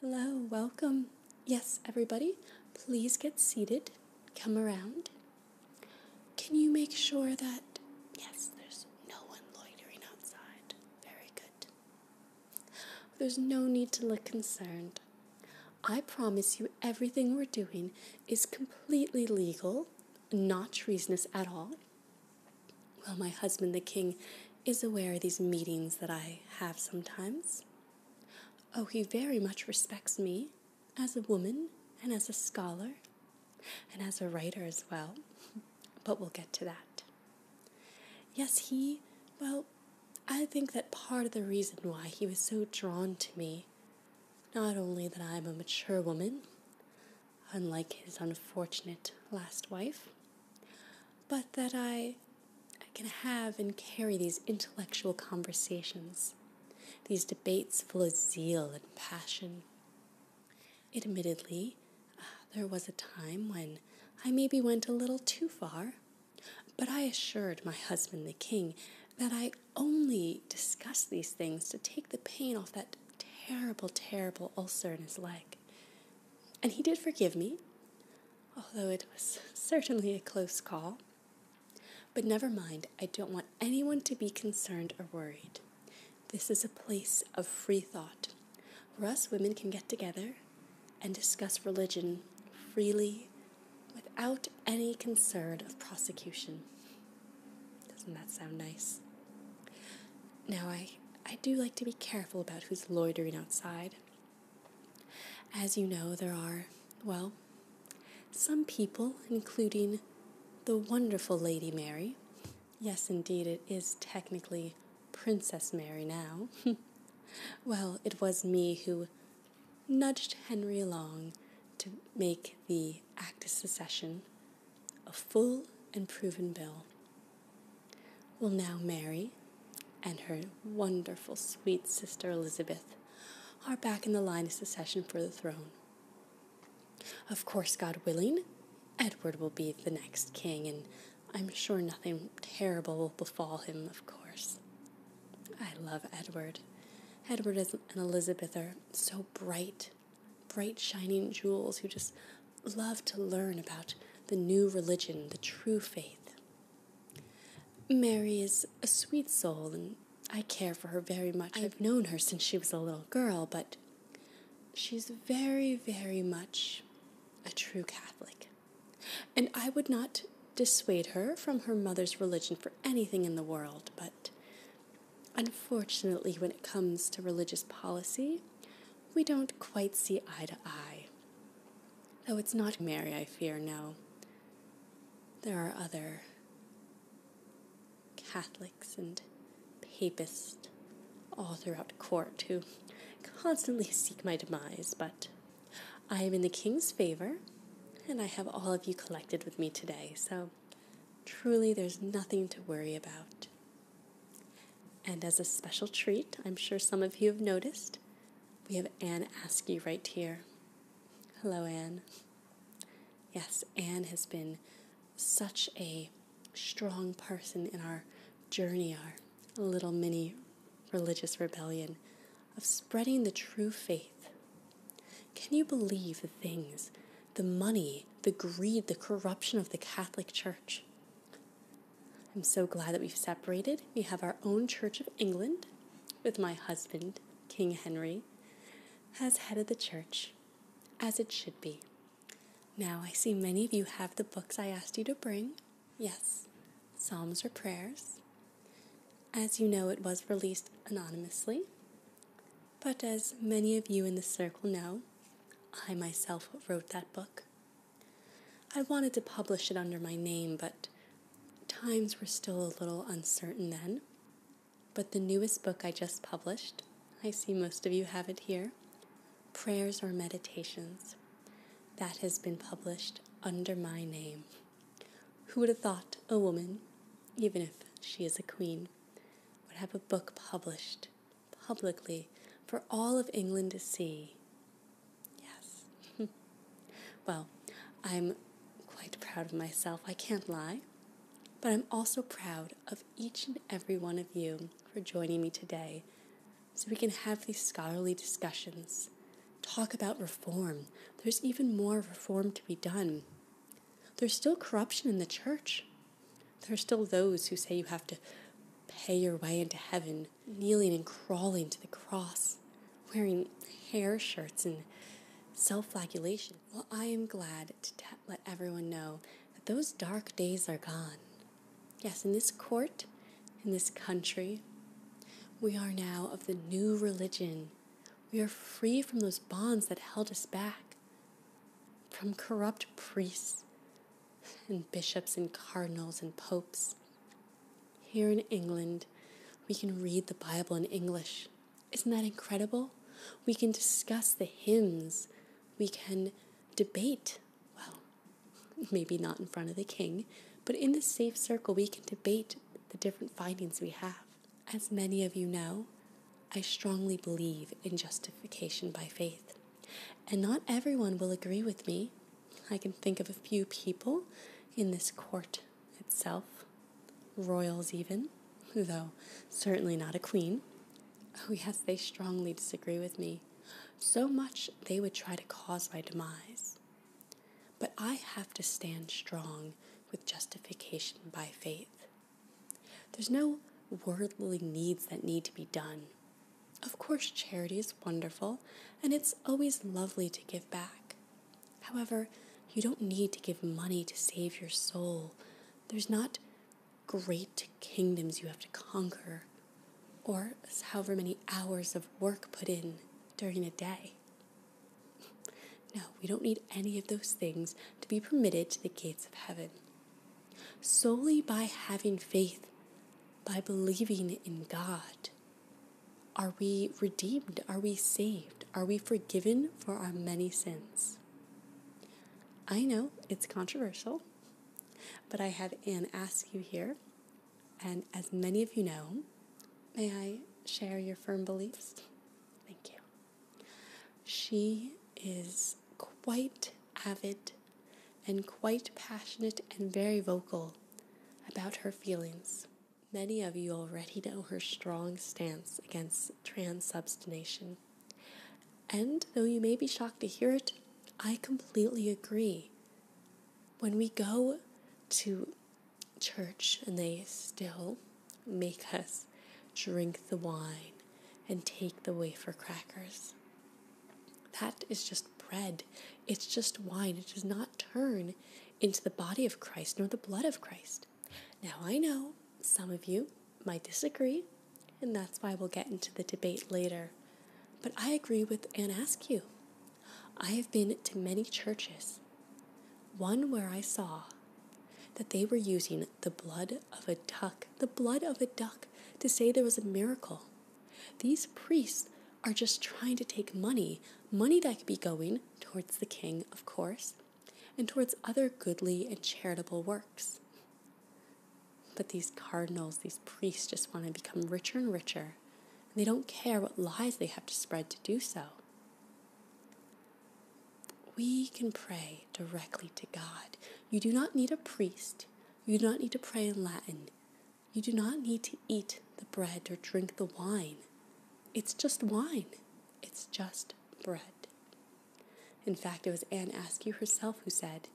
Hello, welcome. Yes, everybody, please get seated. Come around. Can you make sure that, yes, there's no one loitering outside? Very good. There's no need to look concerned. I promise you, everything we're doing is completely legal, not treasonous at all. Well, my husband, the king, is aware of these meetings that I have sometimes. Oh, he very much respects me as a woman and as a scholar and as a writer as well, but we'll get to that. Yes, he, well, I think that part of the reason why he was so drawn to me, not only that I'm a mature woman, unlike his unfortunate last wife, but that I, I can have and carry these intellectual conversations, these debates full of zeal and passion. Admittedly, uh, there was a time when I maybe went a little too far, but I assured my husband, the king, that I only discussed these things to take the pain off that terrible, terrible ulcer in his leg. And he did forgive me, although it was certainly a close call. But never mind, I don't want anyone to be concerned or worried. This is a place of free thought For us women can get together and discuss religion freely without any concern of prosecution. Doesn't that sound nice? Now, I I do like to be careful about who's loitering outside. As you know, there are, well, some people, including the wonderful Lady Mary. Yes, indeed, it is technically Princess Mary now. well, it was me who nudged Henry along to make the Act of Secession a full and proven bill. Well, now Mary and her wonderful, sweet sister Elizabeth are back in the line of succession for the throne. Of course, God willing, Edward will be the next king, and I'm sure nothing terrible will befall him, of course. I love Edward. Edward and Elizabeth are so bright bright, shining jewels who just love to learn about the new religion, the true faith. Mary is a sweet soul, and I care for her very much. I've known her since she was a little girl, but she's very, very much a true Catholic. And I would not dissuade her from her mother's religion for anything in the world, but Unfortunately, when it comes to religious policy, we don't quite see eye to eye. Though it's not Mary, I fear, no. There are other Catholics and Papists all throughout court who constantly seek my demise, but I am in the King's favor, and I have all of you collected with me today, so truly there's nothing to worry about. And as a special treat, I'm sure some of you have noticed, we have Anne Askew right here. Hello, Anne. Yes, Anne has been such a strong person in our journey, our little mini religious rebellion of spreading the true faith. Can you believe the things the money, the greed, the corruption of the Catholic Church. I'm so glad that we've separated. We have our own Church of England with my husband, King Henry, as head of the church, as it should be. Now, I see many of you have the books I asked you to bring. Yes, Psalms or prayers. As you know, it was released anonymously. But as many of you in the circle know, I myself wrote that book. I wanted to publish it under my name, but times were still a little uncertain then. But the newest book I just published, I see most of you have it here Prayers or Meditations. That has been published under my name. Who would have thought a woman, even if she is a queen, would have a book published publicly for all of England to see. Yes. well, I'm quite proud of myself, I can't lie. But I'm also proud of each and every one of you for joining me today so we can have these scholarly discussions. Talk about reform. There's even more reform to be done. There's still corruption in the church. There are still those who say you have to pay your way into heaven, kneeling and crawling to the cross, wearing hair shirts and self flagellation. Well, I am glad to let everyone know that those dark days are gone. Yes, in this court, in this country, we are now of the new religion. We are free from those bonds that held us back from corrupt priests and bishops and cardinals and popes. Here in England, we can read the Bible in English. Isn't that incredible? We can discuss the hymns. We can debate. Well, maybe not in front of the king, but in the safe circle, we can debate the different findings we have. As many of you know, I strongly believe in justification by faith. And not everyone will agree with me. I can think of a few people in this court itself, royals even, though certainly not a queen. Oh, yes, they strongly disagree with me, so much they would try to cause my demise. But I have to stand strong with justification by faith. There's no worldly needs that need to be done. Of course, charity is wonderful, and it's always lovely to give back. However, you don't need to give money to save your soul. There's not great kingdoms you have to conquer, or however many hours of work put in during a day. No, we don't need any of those things to be permitted to the gates of heaven. Solely by having faith, by believing in God, are we redeemed? Are we saved? Are we forgiven for our many sins? I know it's controversial, but I have an ask you here. And as many of you know, may I share your firm beliefs? Thank you. She is quite avid and quite passionate and very vocal about her feelings. Many of you already know her strong stance against transubstantiation. And though you may be shocked to hear it, I completely agree. When we go to church and they still make us drink the wine and take the wafer crackers. That is just bread. It's just wine. It does not turn into the body of Christ nor the blood of Christ. Now, I know some of you might disagree, and that's why we'll get into the debate later. But I agree with Anne Askew. I have been to many churches, one where I saw that they were using the blood of a duck, the blood of a duck, to say there was a miracle. These priests are just trying to take money, money that could be going towards the king, of course, and towards other goodly and charitable works. But these cardinals, these priests just want to become richer and richer they don't care what lies they have to spread to do so. We can pray directly to God. You do not need a priest. You do not need to pray in Latin. You do not need to eat the bread or drink the wine. It's just wine. It's just bread. In fact, it was Anne Askew herself who said,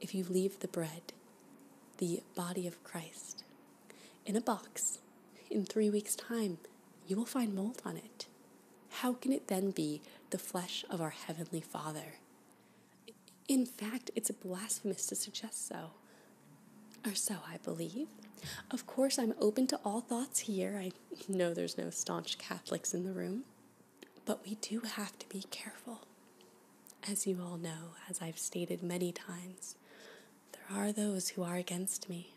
If you leave the bread, the body of Christ, in a box in three weeks' time, you will find mold on it. How can it then be the flesh of our Heavenly Father? In fact, it's blasphemous to suggest so. Or so I believe. Of course, I'm open to all thoughts here. I know there's no staunch Catholics in the room. But we do have to be careful. As you all know, as I've stated many times, there are those who are against me.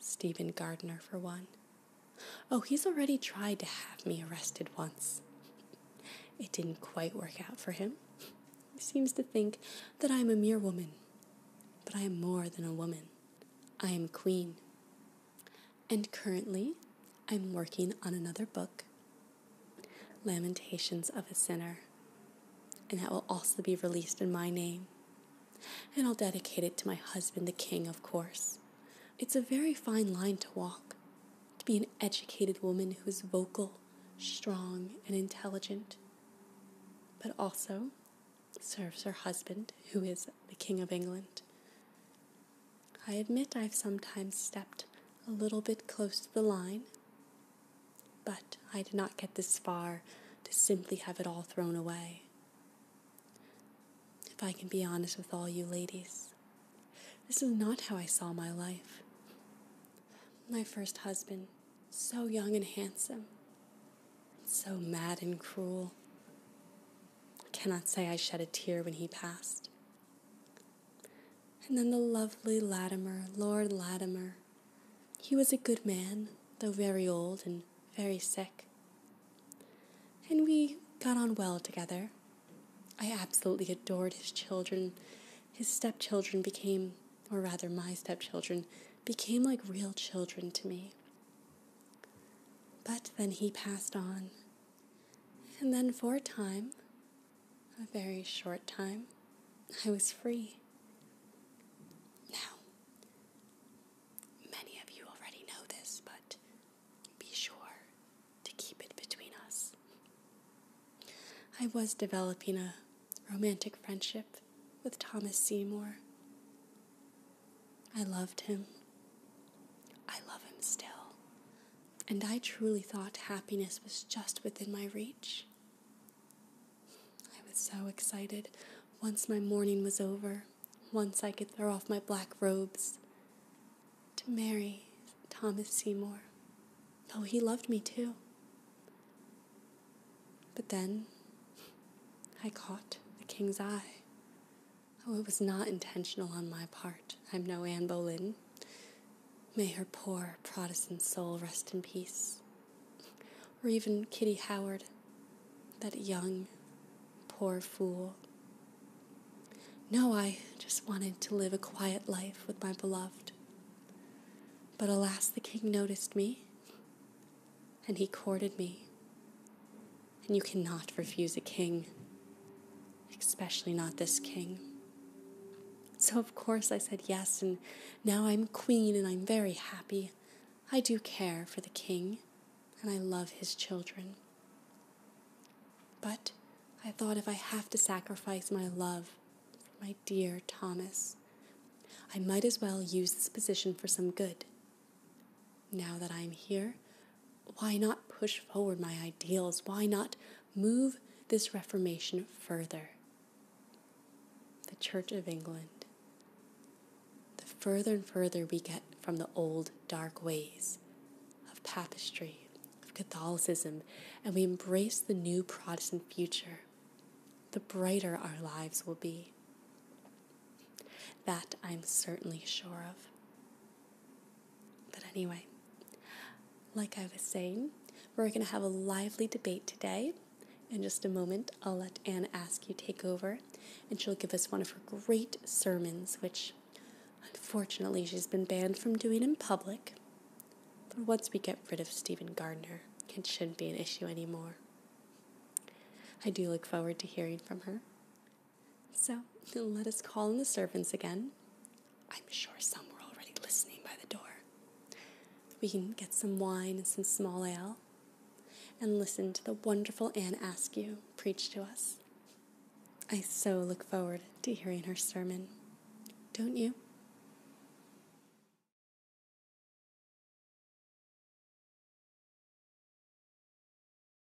Stephen Gardner, for one. Oh, he's already tried to have me arrested once. It didn't quite work out for him. He seems to think that I am a mere woman, but I am more than a woman. I am queen. And currently, I'm working on another book Lamentations of a Sinner. And that will also be released in my name. And I'll dedicate it to my husband, the king, of course. It's a very fine line to walk, to be an educated woman who is vocal, strong, and intelligent, but also serves her husband, who is the king of England. I admit I've sometimes stepped a little bit close to the line, but I did not get this far to simply have it all thrown away. If I can be honest with all you ladies, this is not how I saw my life. My first husband, so young and handsome, so mad and cruel. I cannot say I shed a tear when he passed. And then the lovely Latimer, Lord Latimer. He was a good man, though very old and very sick. And we got on well together. I absolutely adored his children. His stepchildren became, or rather, my stepchildren, became like real children to me. But then he passed on. And then for a time, a very short time, I was free. Now, many of you already know this, but be sure to keep it between us. I was developing a romantic friendship with Thomas Seymour. I loved him. I love him still and I truly thought happiness was just within my reach. I was so excited once my mourning was over, once I could throw off my black robes to marry Thomas Seymour. Oh, he loved me too. But then I caught the king's eye. Oh, it was not intentional on my part. I'm no Anne Boleyn. May her poor Protestant soul rest in peace. Or even Kitty Howard, that young, poor fool. No, I just wanted to live a quiet life with my beloved. But alas, the king noticed me, and he courted me. And you cannot refuse a king especially not this king. So, of course, I said yes, and now I'm queen and I'm very happy. I do care for the king, and I love his children. But I thought if I have to sacrifice my love for my dear Thomas, I might as well use this position for some good. Now that I'm here, why not push forward my ideals? Why not move this Reformation further? The Church of England. The further and further we get from the old dark ways of papistry, of Catholicism, and we embrace the new Protestant future, the brighter our lives will be. That I'm certainly sure of. But anyway, like I was saying, we're going to have a lively debate today. In just a moment, I'll let Anne you take over, and she'll give us one of her great sermons, which unfortunately she's been banned from doing in public. But once we get rid of Stephen Gardner, it shouldn't be an issue anymore. I do look forward to hearing from her. So let us call in the servants again. I'm sure some were already listening by the door. We can get some wine and some small ale and listen to the wonderful Anne Askew preach to us. I so look forward to hearing her sermon. Don't you?